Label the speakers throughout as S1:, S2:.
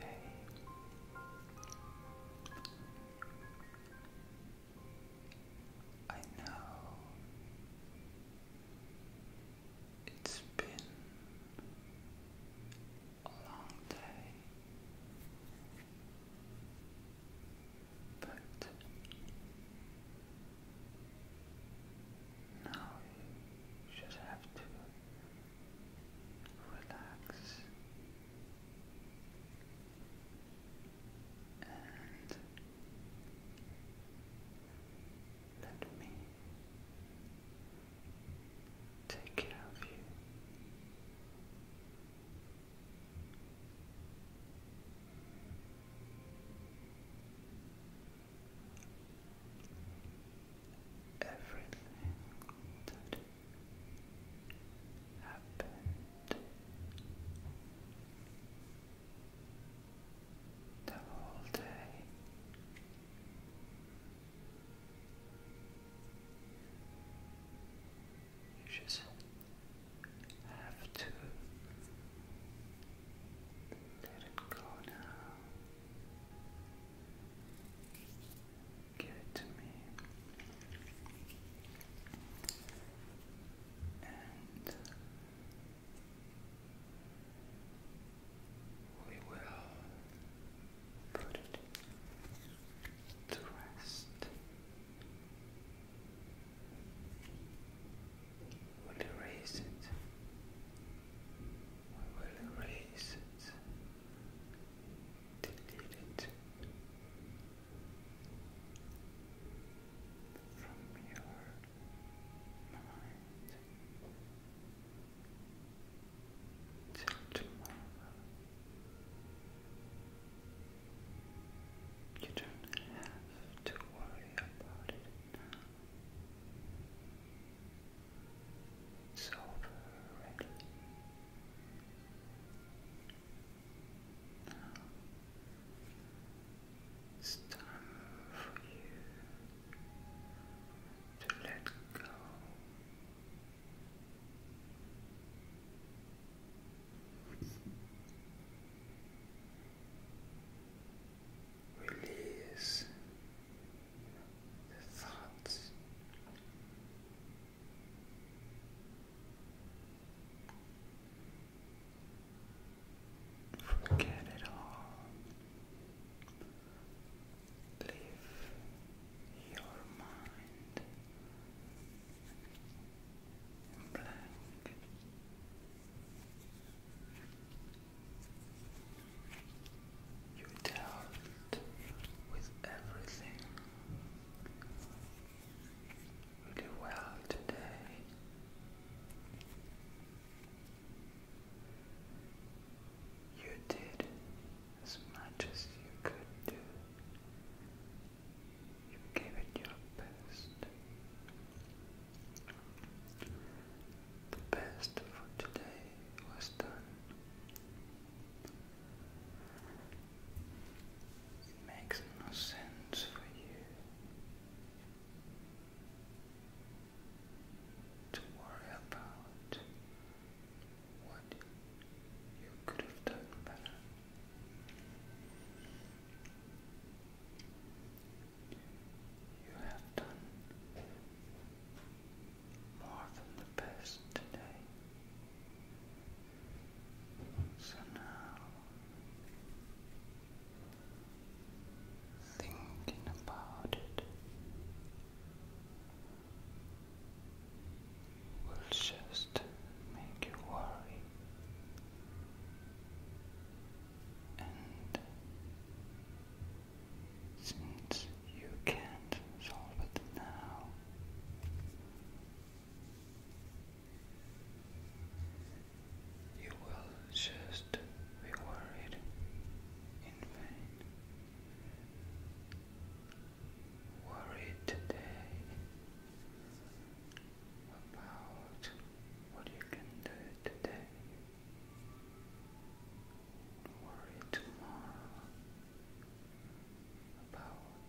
S1: Hey. I know it's been a long day. But now you just have to relax and let me take care of you. Everything that happened, the whole day. You just have to let it go now. Give it to me. And we will put it to rest we will erase it we will erase it delete it from your mind till tomorrow you don't have to worry about it It's over it's time for you to let go. Release the thoughts. Forget it all. Leave your mind black. You dealt with everything really well today. You did as much as you could do you gave it your best. The best for today was done. It makes no sense for you to worry about what you could have done better. You have done more than the best today. So now, thinking about it will just make you worry and since you can't solve it now you will just be worried in vain. Worry today about what you can do today. Worry tomorrow about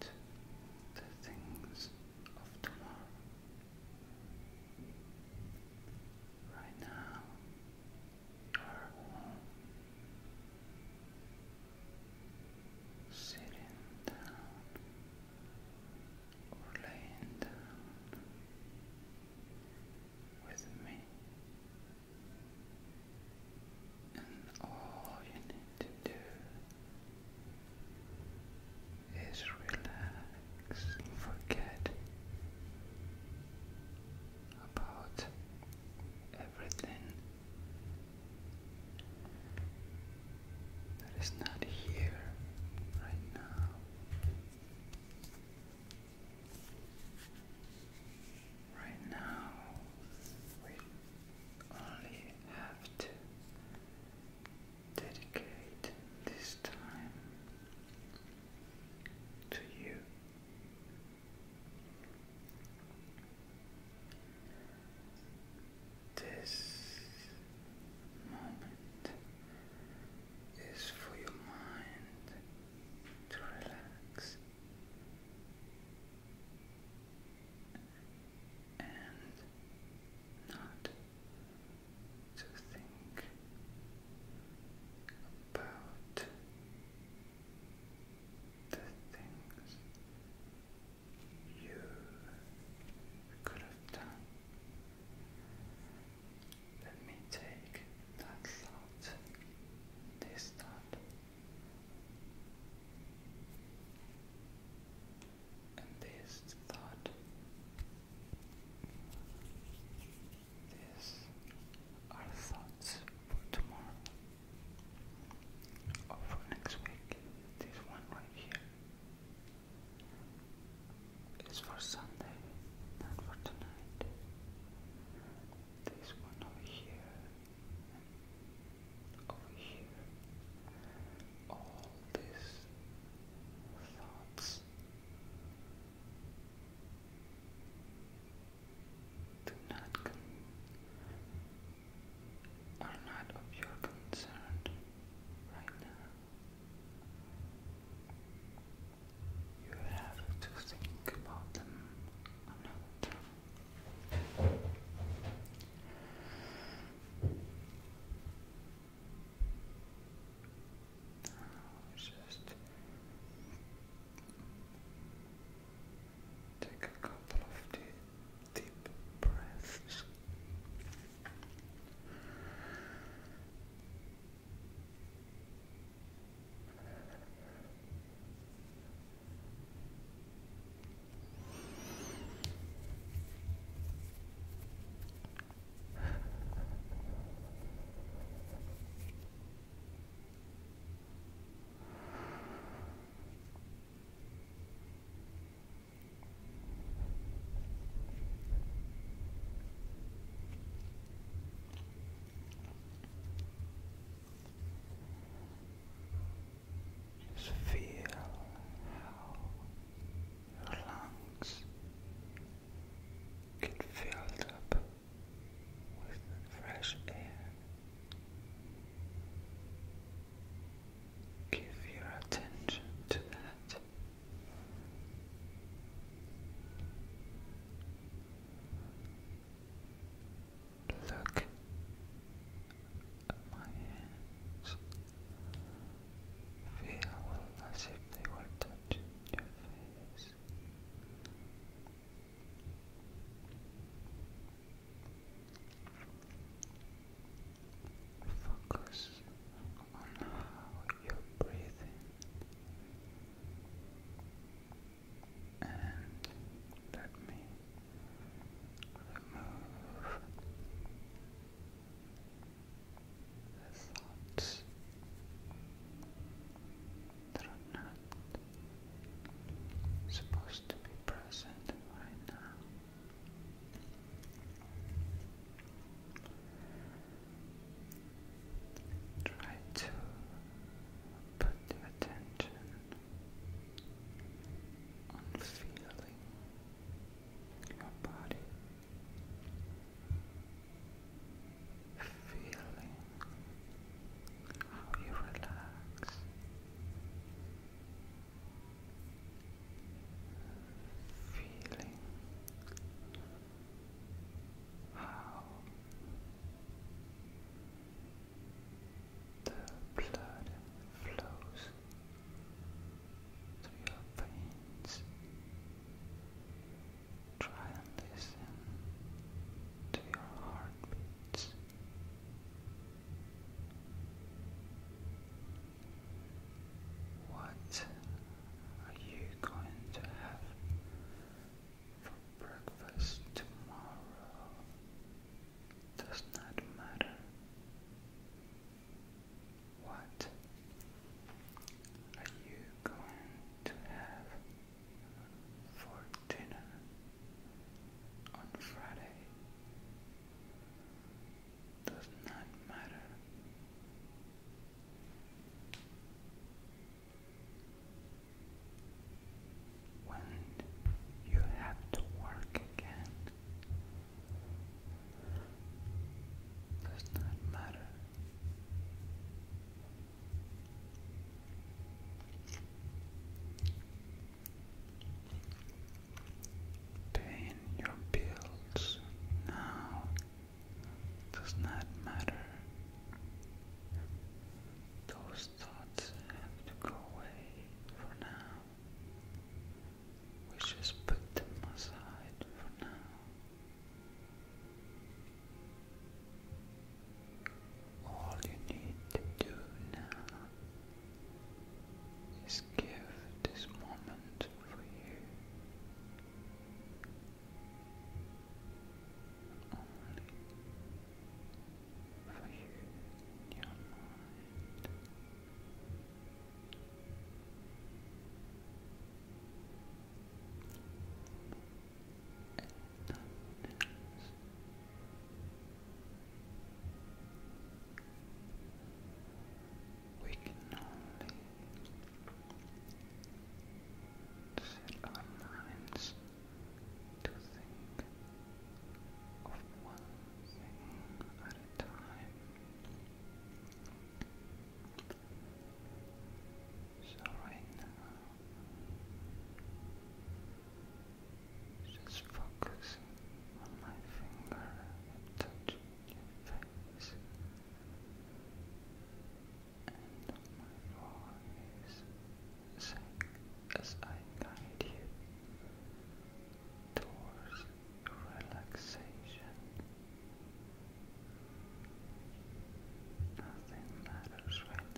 S1: the things of tomorrow. Right now, sitting down or laying down with me, and all you need to do is relax forget about everything that is not here right now. Right now, we only have to dedicate this time to you. This moment is for your mind to relax and not to think about the things you could have done. Let me take that thought, this thought, and this thought, these are thoughts for tomorrow or for next week, this one right here is for Sunday, not for tonight. This one over here, over here, all these thoughts do not con are not of your concern right now. You have to think about them another time. just Take a couple of deep, breaths. Just feel how your lungs get filled up with fresh air. Give your attention to that. Look at my hands. Feel as if they were touching your face. Focus on how you're breathing and let me remove the thoughts that are not supposed to be present right now. Try to put the attention on feeling your body, feeling how you relax feeling how the blood flows through your veins. Try and listen to your heartbeats. What are you going to have for breakfast tomorrow? Does not matter. What are you going to have for dinner on Friday? does not matter. When you have to work again, does not matter. Paying your bills now does not matter. Those thoughts have to go away for now. We just put them aside for now. All you need to do now is give this moment for you. Only for you your mind. And nothing we can only set our minds to think of one thing at a time. So right now, just focusing on my finger and touching your face. And my voice as I guide you towards relaxation. Nothing matters right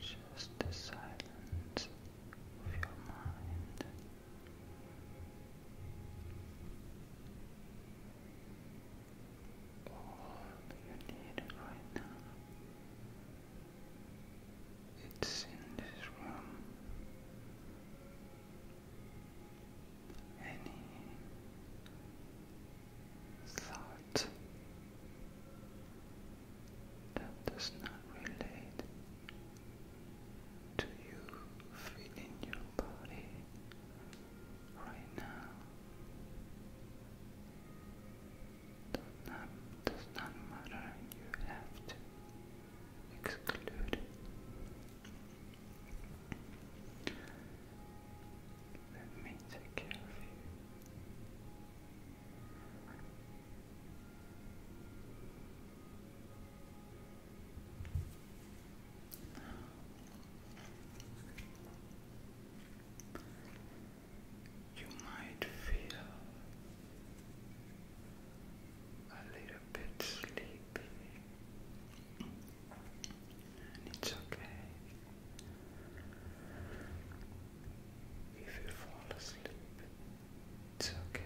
S1: just the silence of your mind. All you need right now. It's in this room. Any thought that does not relate to you feeling your body right now. Does does not matter, you have to exclude Let me take care of you. You might feel a little bit sleepy, and it's okay. If you fall asleep, it's okay.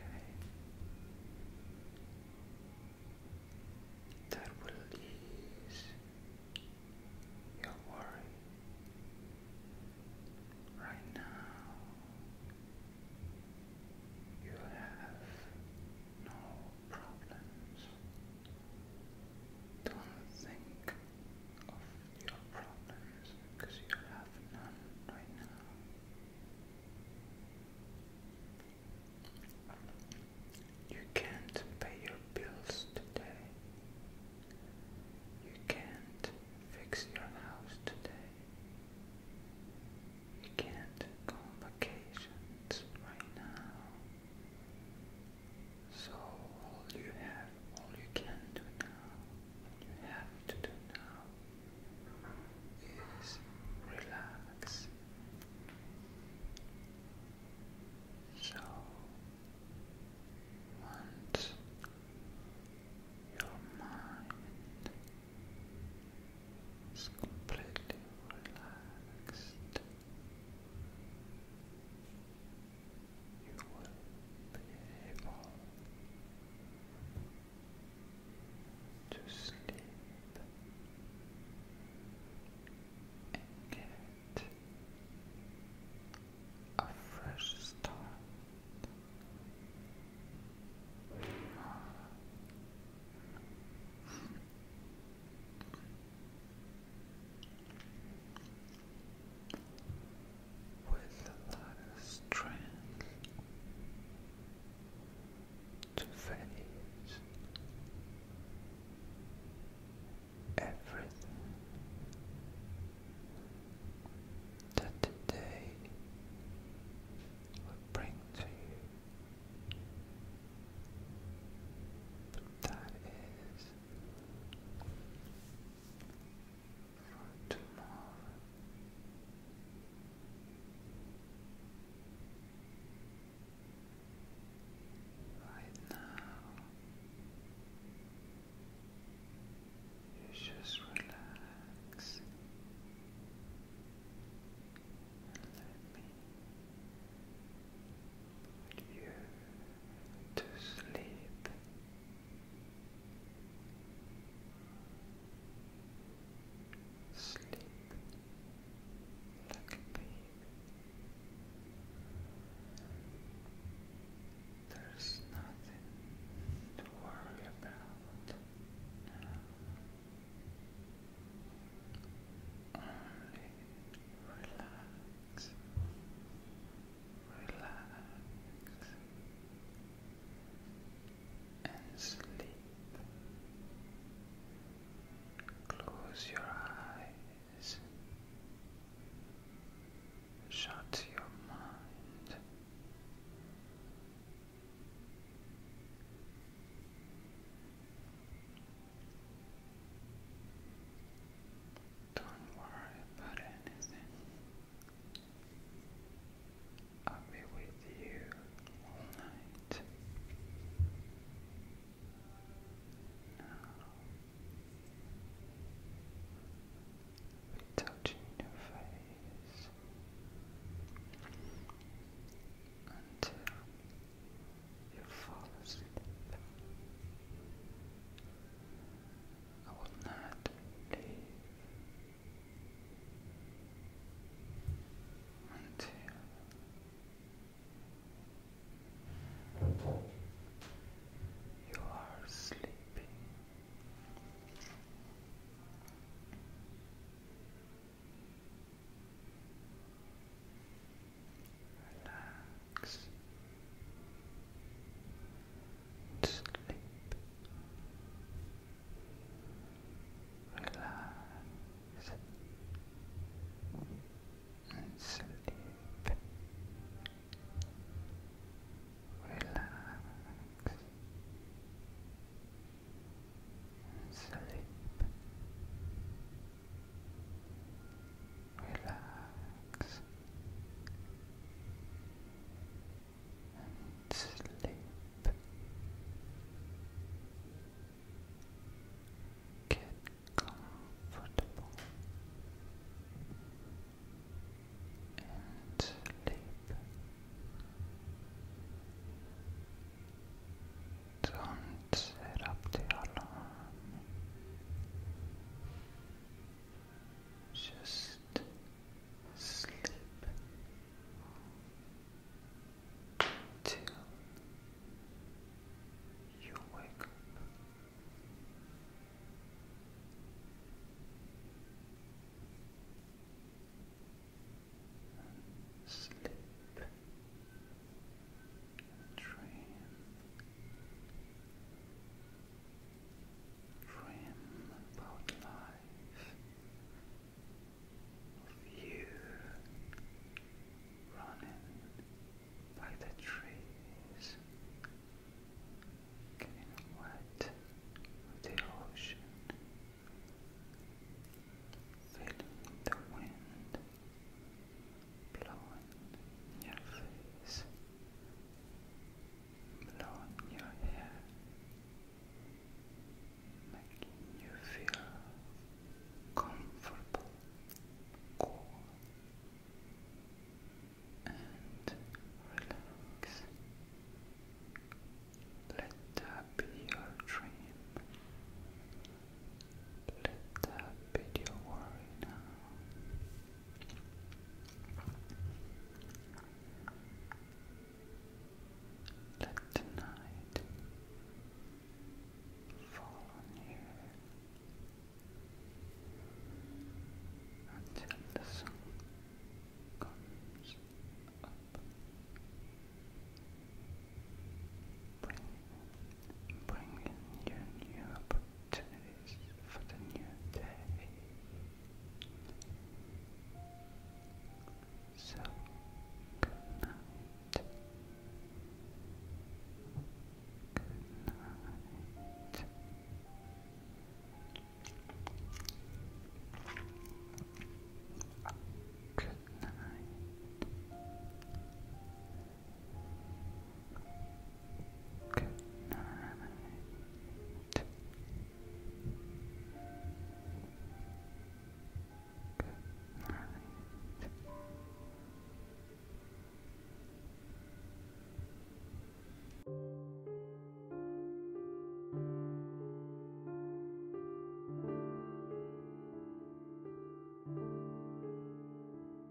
S1: That will ease your worry. Right now, you have no problems. Don't think of your problems because you have none right now. You can't pay your bills today. You can't fix your house today. You can't go on vacations right now. So all you have, all you can do now, you have to do now is relax. So once your mind is completely relaxed, you will be able to sleep and get a fresh start with a lot strength to face everything that the day will bring to you. But that is tomorrow. Right now, you just relax let me put you to sleep. Sleep like There's nothing to worry about Only Relax relax and sleep. Close your eyes, shut your mind. Don't worry about anything. I'll be with you all night. touching your face until you fall asleep. I will not leave until you are sleeping. Sleep. Relax. And sleep. Relax. sleep relax and sleep. Get comfortable and sleep. Don't set up the alarm. Just slip till you wake up. sleep dream dream about life, of you running by the trees, getting wet with the ocean, feeling the wind blowing in your face blowing your hair, making you feel comfortable, cool, and relax. Let that be your dream. Let that be your worry now. Let tonight fall on you until the sun comes up, bringing, bringing you new opportunities for good night. Good night. Good night. Good night. Good